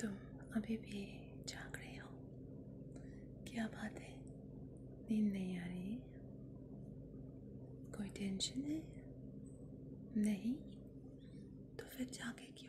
तुम अभी भी जाग रहे हो क्या बात है नींद नहीं आ रही कोई टेंशन है नहीं तो फिर जागे क्यों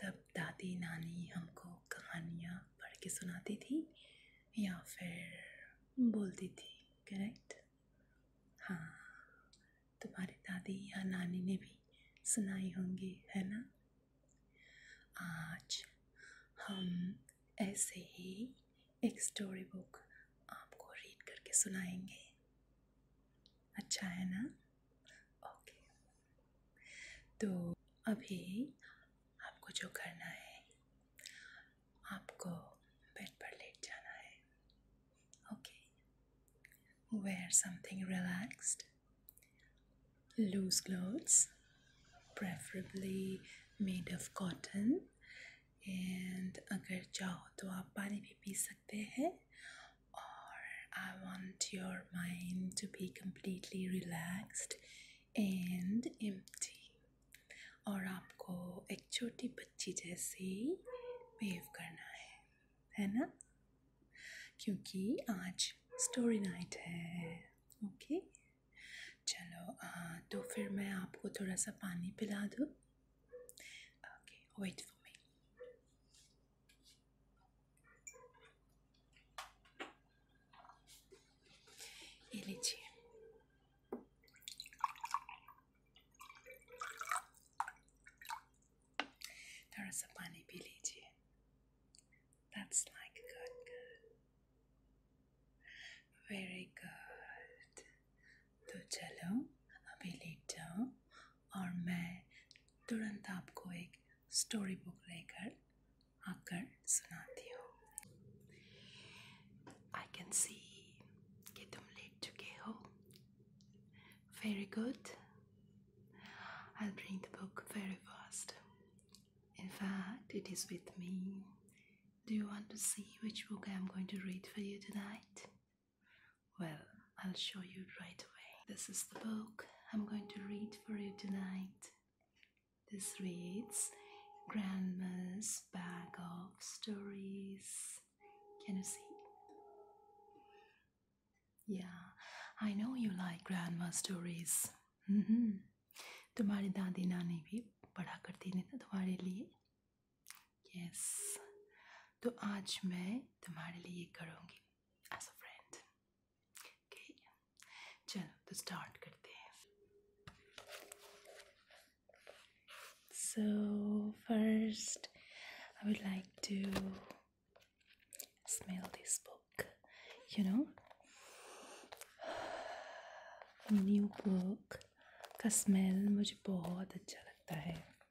तब दादी नानी हमको कहानियाँ पढ़ के सुनाती थी या फिर बोलती थी करेक्ट हाँ तुम्हारी दादी या नानी ने भी सुनाई होंगी है ना आज हम ऐसे ही एक स्टोरी बुक आपको रीड करके सुनाएंगे अच्छा है ना ओके तो अभी आपको जो करना है आपको बेड पर लेट जाना है okay wear something relaxed loose clothes preferably made of cotton. And अगर चाहो तो आप पानी भी पी सकते हैं or I want your mind to be completely relaxed and empty और आपको एक छोटी बच्ची जैसे वेव करना है है ना क्योंकि आज स्टोरी नाइट है ओके चलो आ, तो फिर मैं आपको थोड़ा सा पानी पिला दूँ okay wait for me Y leche. There is a bunny village. That's like good, good. Very good. Tutelo, abilito, और मैं तुरंत आपको एक स्टोरी बुक लेकर आकर सुनाती can see कैन सी कि तुम लेट चुके हो very good I'll bring the book very fast. In fact, it is with me. Do you want to see which book I am going to read for you tonight? Well, I'll show you right away. This is the book I'm going to read for you tonight. This reads Grandma's Bag of Stories. Can you see? Yeah, I know you like grandma's stories. तुम्हारी दादी नानी भी पढ़ा करती थी ना तुम्हारे लिए यस तो आज मैं तुम्हारे लिए करूँगी एज अ फ्रेंड ओके चलो तो स्टार्ट करते हैं so first I would like to smell this book. You know, new book का स्मेल मुझे बहुत अच्छा लगता है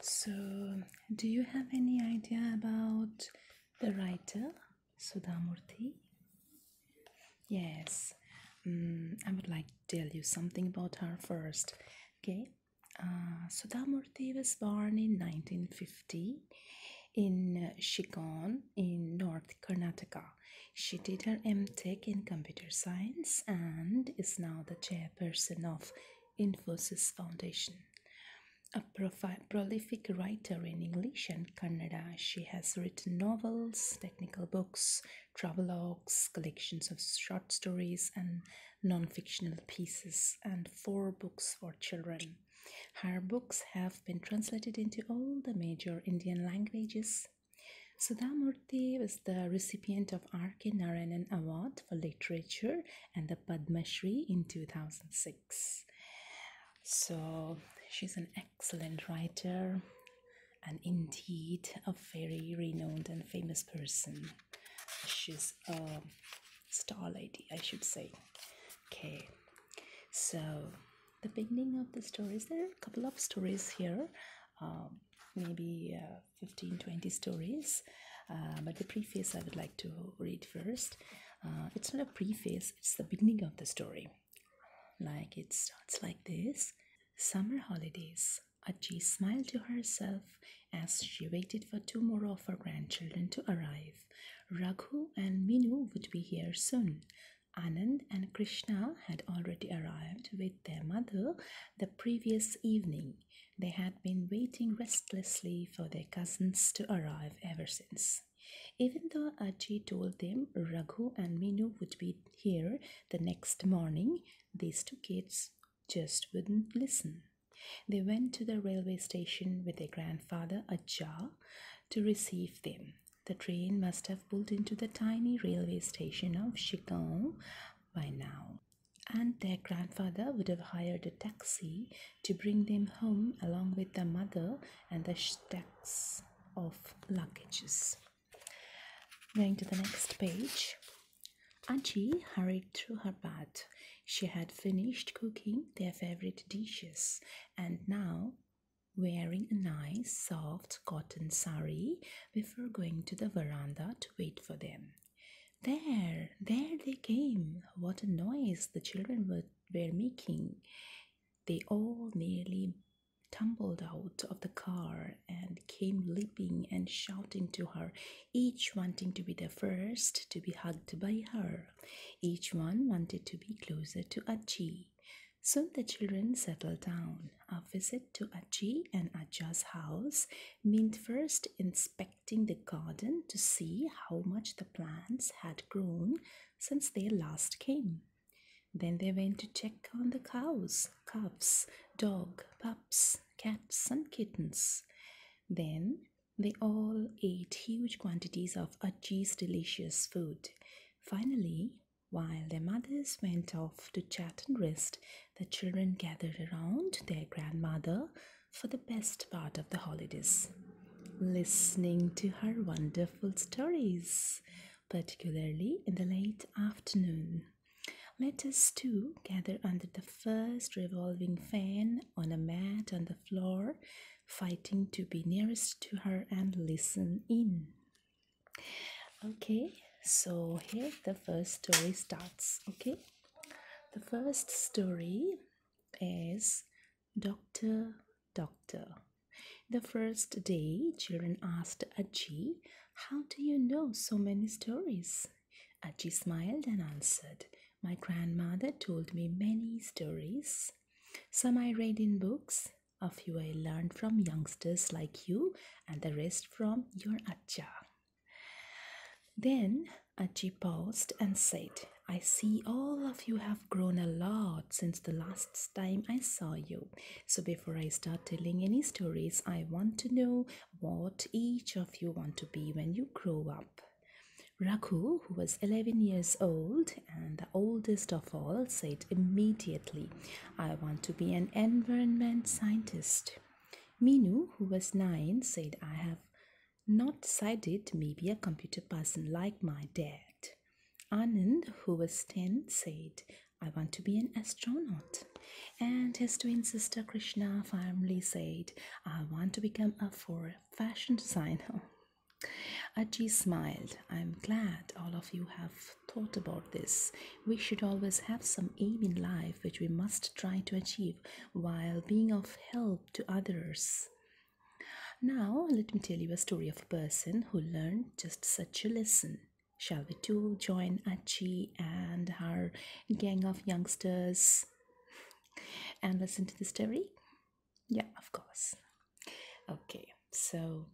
So, do you have any idea about the writer Sudamurthy? Yes, um, I would like to tell you something about her first. Okay, uh, Sudhamurti was born in 1950 in Shigon in North Karnataka. She did her MTech in computer science and is now the chairperson of Infosys Foundation. A prolific writer in English and Kannada, she has written novels, technical books, travelogues, collections of short stories, and non fictional pieces, and four books for children. Her books have been translated into all the major Indian languages Sudha Murthy was the recipient of R.K. Narayanan Award for Literature and the Padma Shri in 2006. So she's an excellent writer and indeed a very renowned and famous person. She's a star lady, I should say. Okay, so the beginning of the stories there are a couple of stories here uh, maybe uh, 15 20 stories uh, but the preface i would like to read first uh, it's not a preface it's the beginning of the story like it starts like this summer holidays Achi smiled to herself as she waited for two more of her grandchildren to arrive. Raghu and Minu would be here soon. Anand and Krishna had already arrived with their mother the previous evening. They had been waiting restlessly for their cousins to arrive ever since. Even though Ajji told them Raghu and Minu would be here the next morning, these two kids just wouldn't listen. They went to the railway station with their grandfather Ajja to receive them. The train must have pulled into the tiny railway station of Shikong by now, and their grandfather would have hired a taxi to bring them home along with the mother and the stacks of luggages. Going to the next page. Auntie hurried through her bath. She had finished cooking their favorite dishes, and now wearing a nice soft cotton sari before going to the veranda to wait for them. There, there they came. What a noise the children were, were making. They all nearly tumbled out of the car and came leaping and shouting to her, each wanting to be the first to be hugged by her. Each one wanted to be closer to Achi. Soon the children settled down. A visit to Aji and Aja's house meant first inspecting the garden to see how much the plants had grown since they last came. Then they went to check on the cows, calves, dog, pups, cats, and kittens. Then they all ate huge quantities of Aji's delicious food. Finally, while their mothers went off to chat and rest, the children gathered around their grandmother for the best part of the holidays, listening to her wonderful stories, particularly in the late afternoon. Let us too gather under the first revolving fan on a mat on the floor fighting to be nearest to her and listen in. Okay, so here the first story starts. Okay, the first story is Doctor Doctor. The first day, children asked Aji, How do you know so many stories? Aji smiled and answered, My grandmother told me many stories. Some I read in books, a few I learned from youngsters like you, and the rest from your Acha. Then Achi paused and said, I see all of you have grown a lot since the last time I saw you. So before I start telling any stories, I want to know what each of you want to be when you grow up. Raku, who was 11 years old and the oldest of all, said immediately, I want to be an environment scientist. Minu, who was 9, said, I have not decided, maybe a computer person like my dad. Anand, who was 10, said, I want to be an astronaut. And his twin sister Krishna firmly said, I want to become a fashion designer. Ajji smiled. I'm glad all of you have thought about this. We should always have some aim in life which we must try to achieve while being of help to others. Now, let me tell you a story of a person who learned just such a lesson. Shall we too join Achi and her gang of youngsters and listen to the story? yeah of course okay so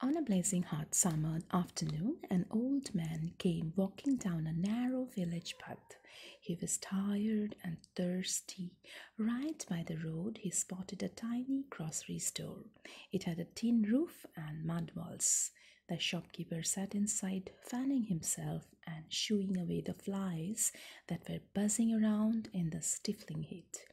on a blazing hot summer afternoon an old man came walking down a narrow village path he was tired and thirsty right by the road he spotted a tiny grocery store it had a tin roof and mud walls the shopkeeper sat inside fanning himself and shooing away the flies that were buzzing around in the stifling heat.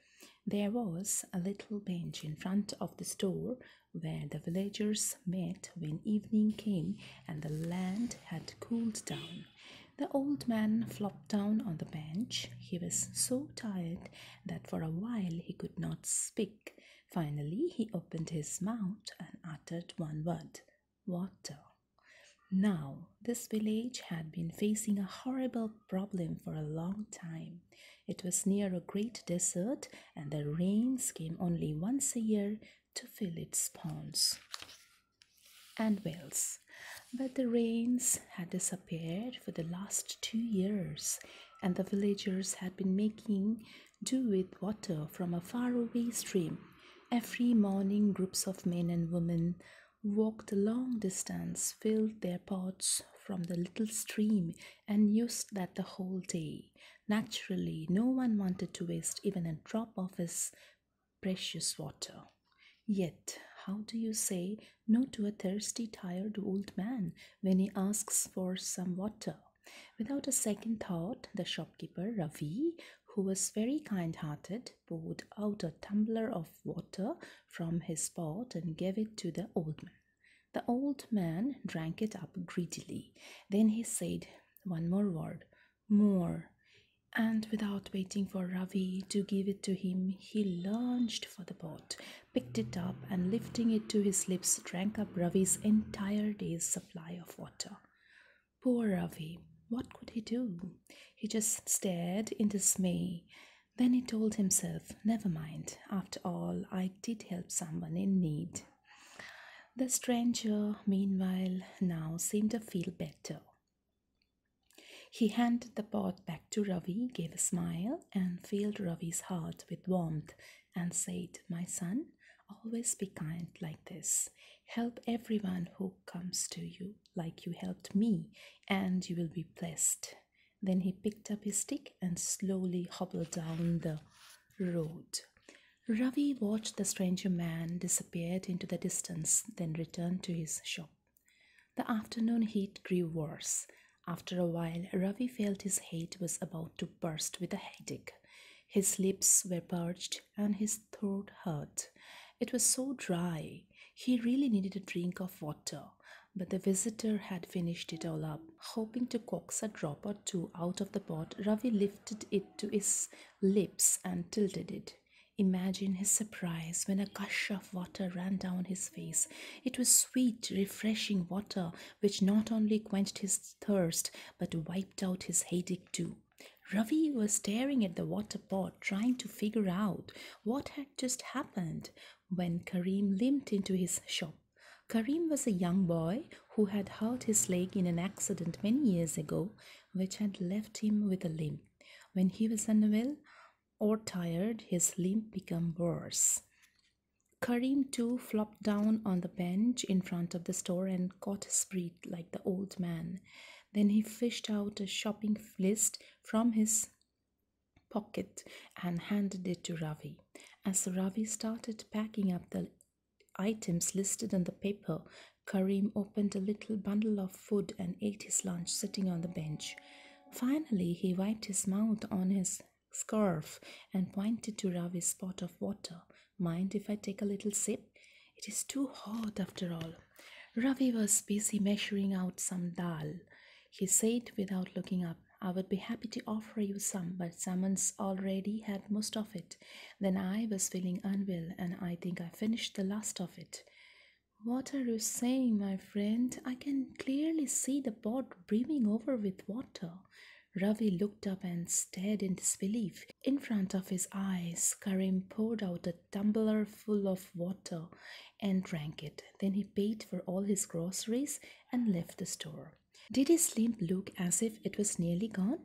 There was a little bench in front of the store where the villagers met when evening came and the land had cooled down. The old man flopped down on the bench. He was so tired that for a while he could not speak. Finally, he opened his mouth and uttered one word water. Now, this village had been facing a horrible problem for a long time. It was near a great desert, and the rains came only once a year to fill its ponds and wells. But the rains had disappeared for the last two years, and the villagers had been making do with water from a faraway stream. Every morning, groups of men and women walked a long distance, filled their pots from the little stream, and used that the whole day. Naturally, no one wanted to waste even a drop of his precious water. Yet, how do you say no to a thirsty, tired old man when he asks for some water? Without a second thought, the shopkeeper, Ravi, who was very kind hearted, poured out a tumbler of water from his pot and gave it to the old man. The old man drank it up greedily. Then he said one more word, more. And without waiting for Ravi to give it to him, he lunged for the pot, picked it up, and lifting it to his lips, drank up Ravi's entire day's supply of water. Poor Ravi! What could he do? He just stared in dismay. Then he told himself, Never mind, after all, I did help someone in need. The stranger, meanwhile, now seemed to feel better. He handed the pot back to Ravi, gave a smile, and filled Ravi's heart with warmth, and said, My son, always be kind like this. Help everyone who comes to you, like you helped me, and you will be blessed. Then he picked up his stick and slowly hobbled down the road. Ravi watched the stranger man disappear into the distance, then returned to his shop. The afternoon heat grew worse. After a while, Ravi felt his head was about to burst with a headache. His lips were parched, and his throat hurt. It was so dry. He really needed a drink of water, but the visitor had finished it all up. Hoping to coax a drop or two out of the pot, Ravi lifted it to his lips and tilted it. Imagine his surprise when a gush of water ran down his face. It was sweet, refreshing water which not only quenched his thirst but wiped out his headache too. Ravi was staring at the water pot, trying to figure out what had just happened when Kareem limped into his shop. Kareem was a young boy who had hurt his leg in an accident many years ago, which had left him with a limp. When he was unwell or tired, his limp became worse. Kareem too flopped down on the bench in front of the store and caught his breath like the old man. Then he fished out a shopping list from his pocket and handed it to Ravi. As Ravi started packing up the items listed on the paper, Karim opened a little bundle of food and ate his lunch sitting on the bench. Finally, he wiped his mouth on his scarf and pointed to Ravi's pot of water. Mind if I take a little sip? It is too hot after all. Ravi was busy measuring out some dal. He said without looking up, I would be happy to offer you some, but Saman's already had most of it. Then I was feeling unwell, and I think I finished the last of it. What are you saying, my friend? I can clearly see the pot brimming over with water. Ravi looked up and stared in disbelief in front of his eyes. Karim poured out a tumbler full of water and drank it. Then he paid for all his groceries and left the store. Did his limp look as if it was nearly gone?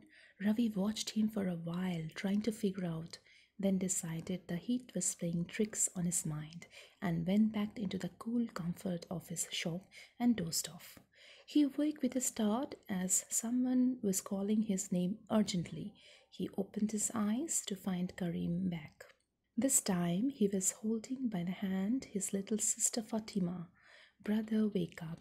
Ravi watched him for a while, trying to figure out, then decided the heat was playing tricks on his mind and went back into the cool comfort of his shop and dozed off. He woke with a start as someone was calling his name urgently. He opened his eyes to find Kareem back. This time he was holding by the hand his little sister Fatima. Brother, wake up.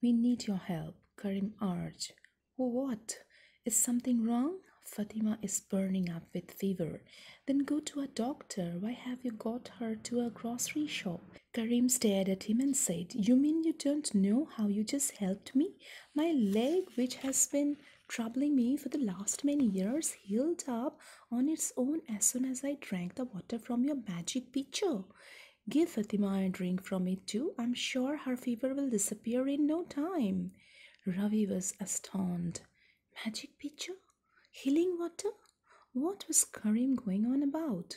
We need your help, Kareem. urged. What? Is something wrong? Fatima is burning up with fever. Then go to a doctor. Why have you got her to a grocery shop? Karim stared at him and said, You mean you don't know how you just helped me? My leg, which has been troubling me for the last many years, healed up on its own as soon as I drank the water from your magic pitcher. Give Fatima a drink from it too. I'm sure her fever will disappear in no time. Ravi was astounded. Magic pitcher? Healing water? What was Karim going on about?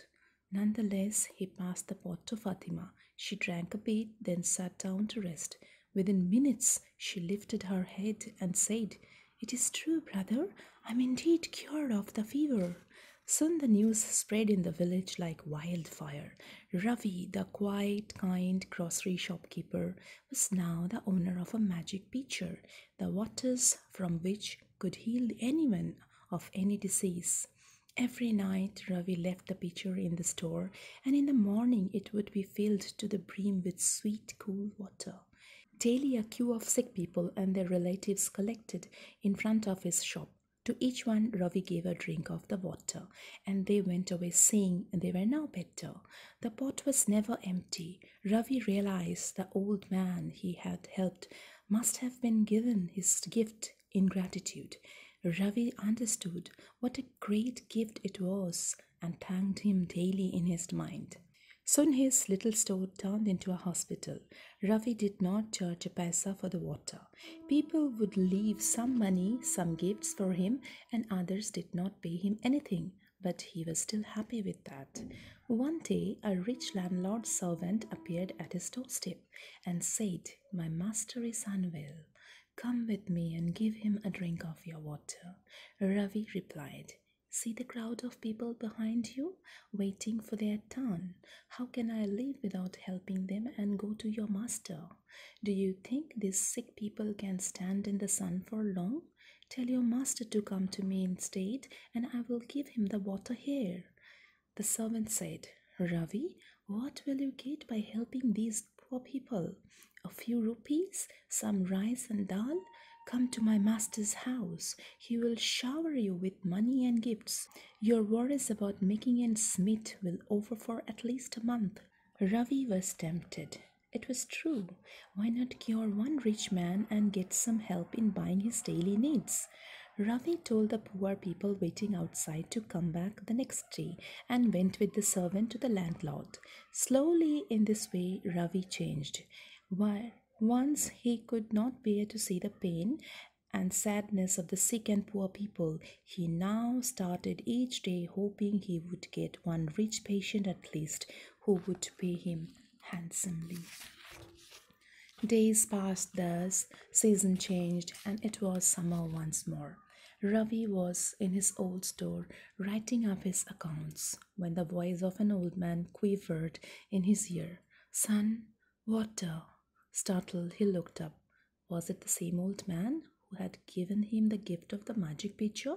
Nonetheless, he passed the pot to Fatima. She drank a bit, then sat down to rest. Within minutes, she lifted her head and said, It is true, brother. I am indeed cured of the fever. Soon the news spread in the village like wildfire. Ravi, the quiet, kind grocery shopkeeper, was now the owner of a magic pitcher, the waters from which could heal anyone of any disease. Every night Ravi left the pitcher in the store, and in the morning it would be filled to the brim with sweet, cool water. Daily, a queue of sick people and their relatives collected in front of his shop. To each one, Ravi gave a drink of the water, and they went away saying they were now better. The pot was never empty. Ravi realized the old man he had helped must have been given his gift in gratitude. Ravi understood what a great gift it was and thanked him daily in his mind. Soon his little store turned into a hospital. Ravi did not charge a paisa for the water. People would leave some money, some gifts for him, and others did not pay him anything, but he was still happy with that. One day, a rich landlord's servant appeared at his doorstep and said, My master is unwell. Come with me and give him a drink of your water. Ravi replied, See the crowd of people behind you, waiting for their turn. How can I leave without helping them and go to your master? Do you think these sick people can stand in the sun for long? Tell your master to come to me instead, and I will give him the water here. The servant said, Ravi, what will you get by helping these poor people? A few rupees, some rice and dal? Come to my master's house. He will shower you with money and gifts. Your worries about making ends meet will over for at least a month. Ravi was tempted. It was true. Why not cure one rich man and get some help in buying his daily needs? Ravi told the poor people waiting outside to come back the next day and went with the servant to the landlord. Slowly, in this way, Ravi changed. While once he could not bear to see the pain and sadness of the sick and poor people, he now started each day hoping he would get one rich patient at least who would pay him handsomely. Days passed thus, season changed, and it was summer once more. Ravi was in his old store writing up his accounts when the voice of an old man quivered in his ear. Sun, water. Startled, he looked up. Was it the same old man who had given him the gift of the magic picture?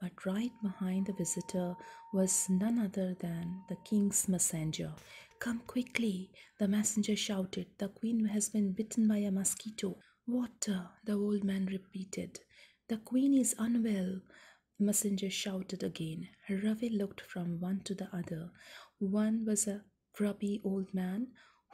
But right behind the visitor was none other than the king's messenger. Come quickly, the messenger shouted. The queen has been bitten by a mosquito. Water, the old man repeated. The queen is unwell, the messenger shouted again. Ravi looked from one to the other. One was a grubby old man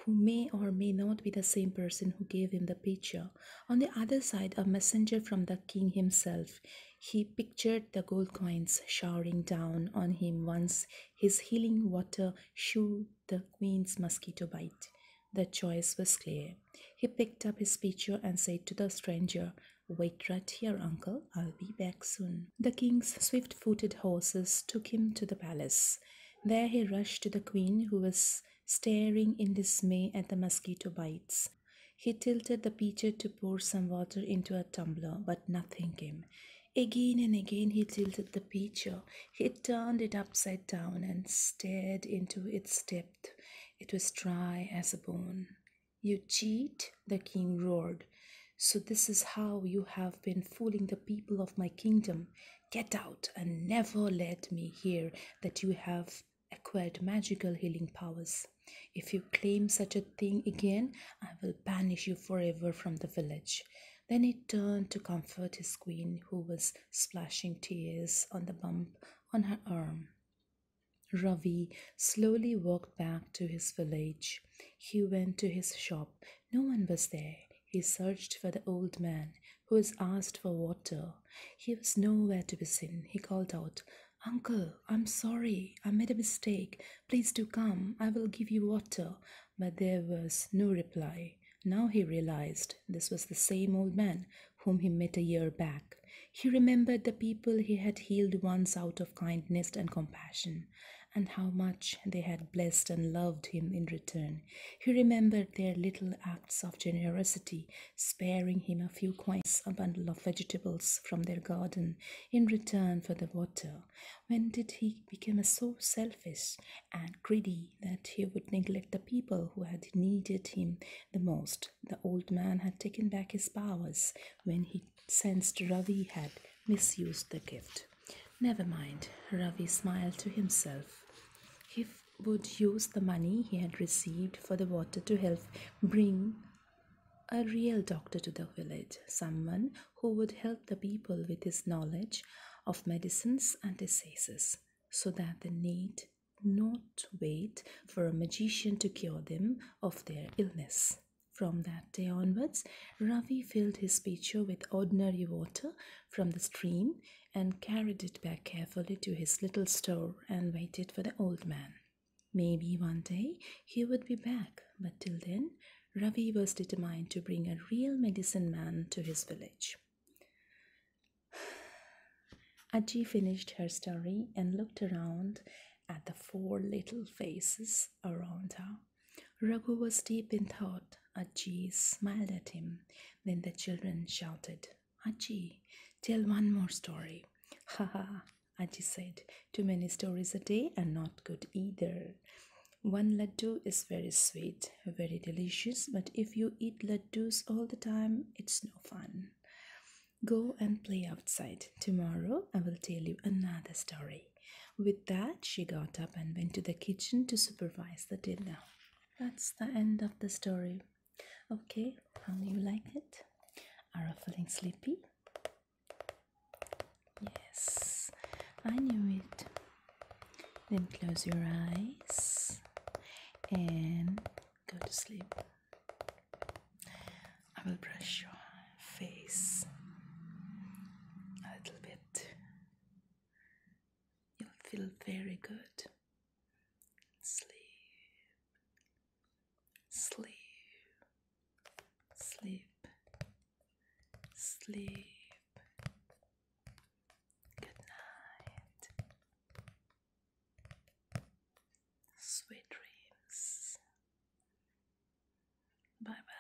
who may or may not be the same person who gave him the picture. On the other side, a messenger from the king himself. He pictured the gold coins showering down on him once his healing water shooed the queen's mosquito bite. The choice was clear. He picked up his pitcher and said to the stranger, Wait right here, uncle. I'll be back soon. The king's swift footed horses took him to the palace. There he rushed to the queen, who was staring in dismay at the mosquito bites. He tilted the pitcher to pour some water into a tumbler, but nothing came. Again and again he tilted the pitcher. He turned it upside down and stared into its depth. It was dry as a bone. You cheat, the king roared. So this is how you have been fooling the people of my kingdom. Get out and never let me hear that you have acquired magical healing powers. If you claim such a thing again, I will banish you forever from the village. Then he turned to comfort his queen, who was splashing tears on the bump on her arm. Ravi slowly walked back to his village. He went to his shop. No one was there. He searched for the old man, who was asked for water. He was nowhere to be seen. He called out, Uncle, I'm sorry, I made a mistake. Please do come, I will give you water. But there was no reply. Now he realized this was the same old man whom he met a year back. He remembered the people he had healed once out of kindness and compassion, and how much they had blessed and loved him in return. He remembered their little acts of generosity sparing him a few coins, a bundle of vegetables from their garden, in return for the water? When did he become so selfish and greedy that he would neglect the people who had needed him the most? The old man had taken back his powers when he sensed Ravi had misused the gift. Never mind, Ravi smiled to himself. He would use the money he had received for the water to help bring a real doctor to the village, someone who would help the people with his knowledge of medicines and diseases so that they need not wait for a magician to cure them of their illness. From that day onwards, Ravi filled his pitcher with ordinary water from the stream and carried it back carefully to his little store and waited for the old man. Maybe one day he would be back, but till then, Ravi was determined to bring a real medicine man to his village. Aji finished her story and looked around at the four little faces around her. Raghu was deep in thought. Aji smiled at him. Then the children shouted, Aji, tell one more story. Ha ha, Aji said. Too many stories a day are not good either. One laddu is very sweet, very delicious, but if you eat laddus all the time, it's no fun. Go and play outside. Tomorrow I will tell you another story. With that, she got up and went to the kitchen to supervise the dinner. That's the end of the story. Okay, how um, do you like it? Are you feeling sleepy? Yes, I knew it. Then close your eyes and go to sleep. I will brush your face a little bit. You'll feel very good sleep, sleep, sleep, sleep. Good night. Sweet dreams. Bye bye.